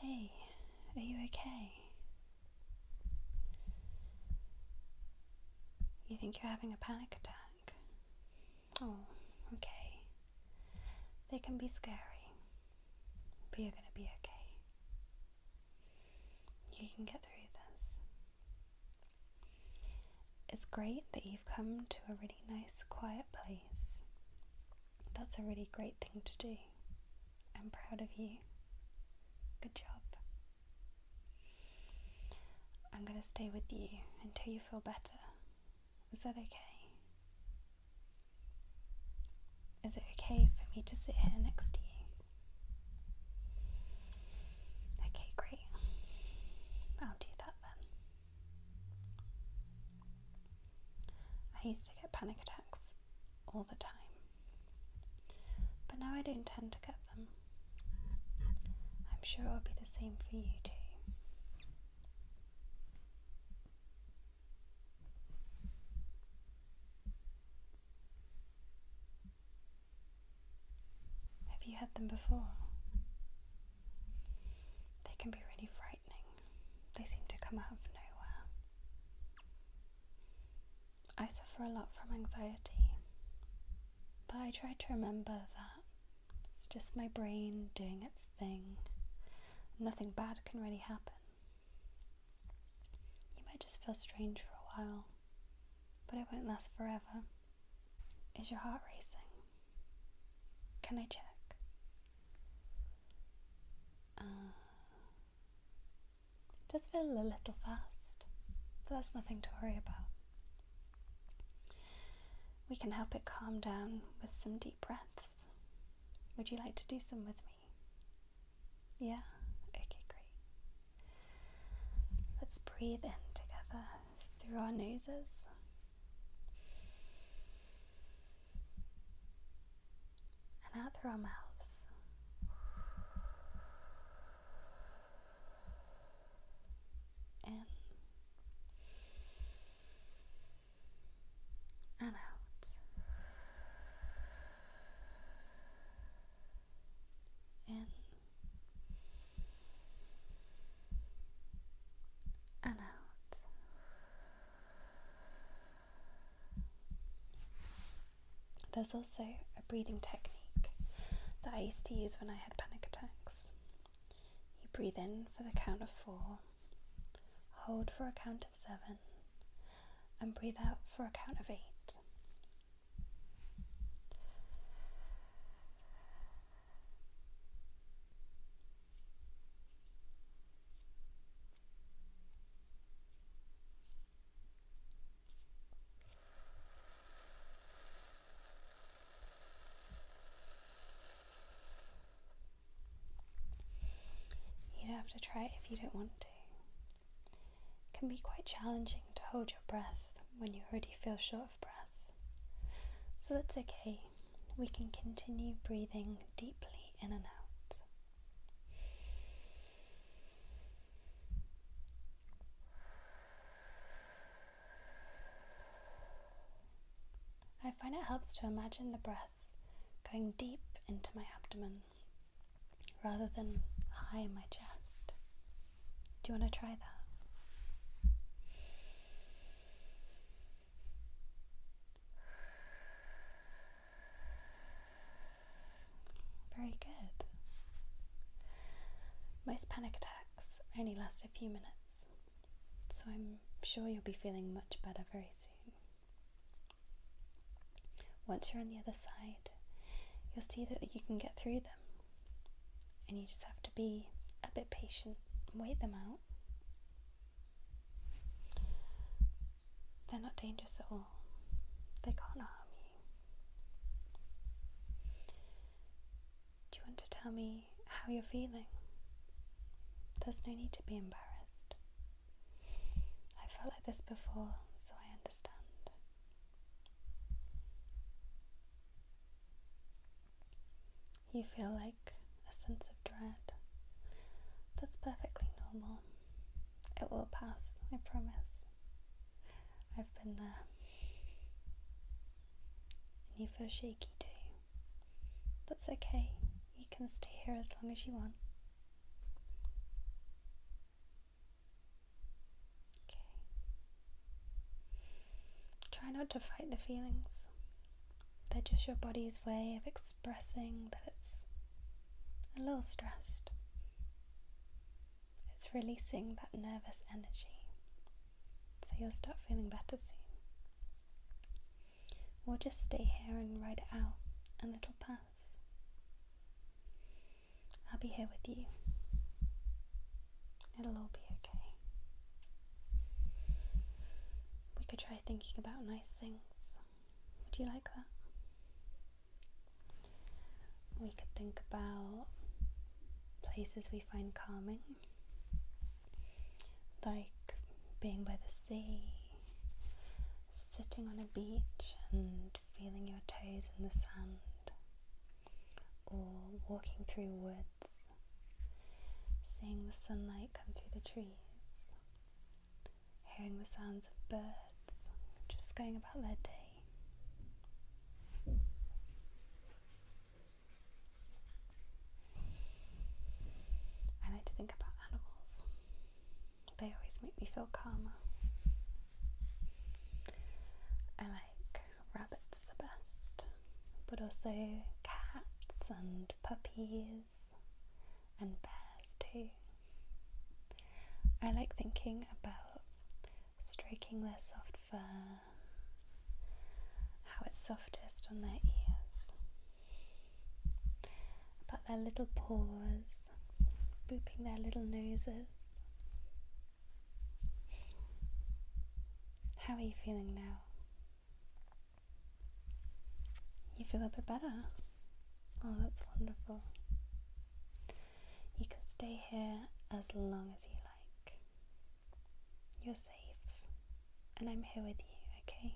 Hey, are you okay? You think you're having a panic attack? Oh, okay. They can be scary, but you're gonna be okay. You can get through this. It's great that you've come to a really nice, quiet place that's a really great thing to do. I'm proud of you. Good job. I'm going to stay with you until you feel better. Is that okay? Is it okay for me to sit here next to you? Okay, great. I'll do that then. I used to get panic attacks all the time, but now I don't tend to get them. I'm sure it'll be the same for you too. Have you had them before? They can be really frightening. They seem to come out of nowhere. I suffer a lot from anxiety, but I try to remember that it's just my brain doing its thing. Nothing bad can really happen. You might just feel strange for a while, but it won't last forever. Is your heart racing? Can I check? Just uh, it feel a little fast, but that's nothing to worry about. We can help it calm down with some deep breaths. Would you like to do some with me? Yeah? Okay, great. Let's breathe in together through our noses. And out through our mouths. In and out. In and out. There's also a breathing technique that I used to use when I had panic attacks. You breathe in for the count of four, hold for a count of seven, and breathe out for a count of eight. You'd have to try if you don't want to. It can be quite challenging to hold your breath when you already feel short of breath. So that's okay. We can continue breathing deeply in and out. I find it helps to imagine the breath going deep into my abdomen rather than high in my chest. Do you want to try that? Very good. Most panic attacks only last a few minutes, so I'm sure you'll be feeling much better very soon. Once you're on the other side, you'll see that you can get through them. And you just have to be a bit patient and wait them out. They're not dangerous at all, they can't harm you. Do you want to tell me how you're feeling? There's no need to be embarrassed. I felt like this before, so I understand. You feel like a sense of dread. That's perfectly normal. It will pass, I promise. I've been there. And you feel shaky too. That's okay. You can stay here as long as you want. Try not to fight the feelings. They're just your body's way of expressing that it's a little stressed. It's releasing that nervous energy. So you'll start feeling better soon. We'll just stay here and ride it out and it'll pass. I'll be here with you. It'll all be okay. We could try thinking about nice things. Would you like that? We could think about places we find calming like being by the sea, sitting on a beach and feeling your toes in the sand, or walking through woods, seeing the sunlight come through the trees, hearing the sounds of birds just going about their day. I like to think about animals, they always make me feel calmer. I like rabbits the best, but also cats and puppies and bears too. I like thinking about stroking their soft fur how it's softest on their ears, about their little paws, booping their little noses. How are you feeling now? You feel a bit better? Oh, that's wonderful. You can stay here as long as you like. You're safe, and I'm here with you, okay?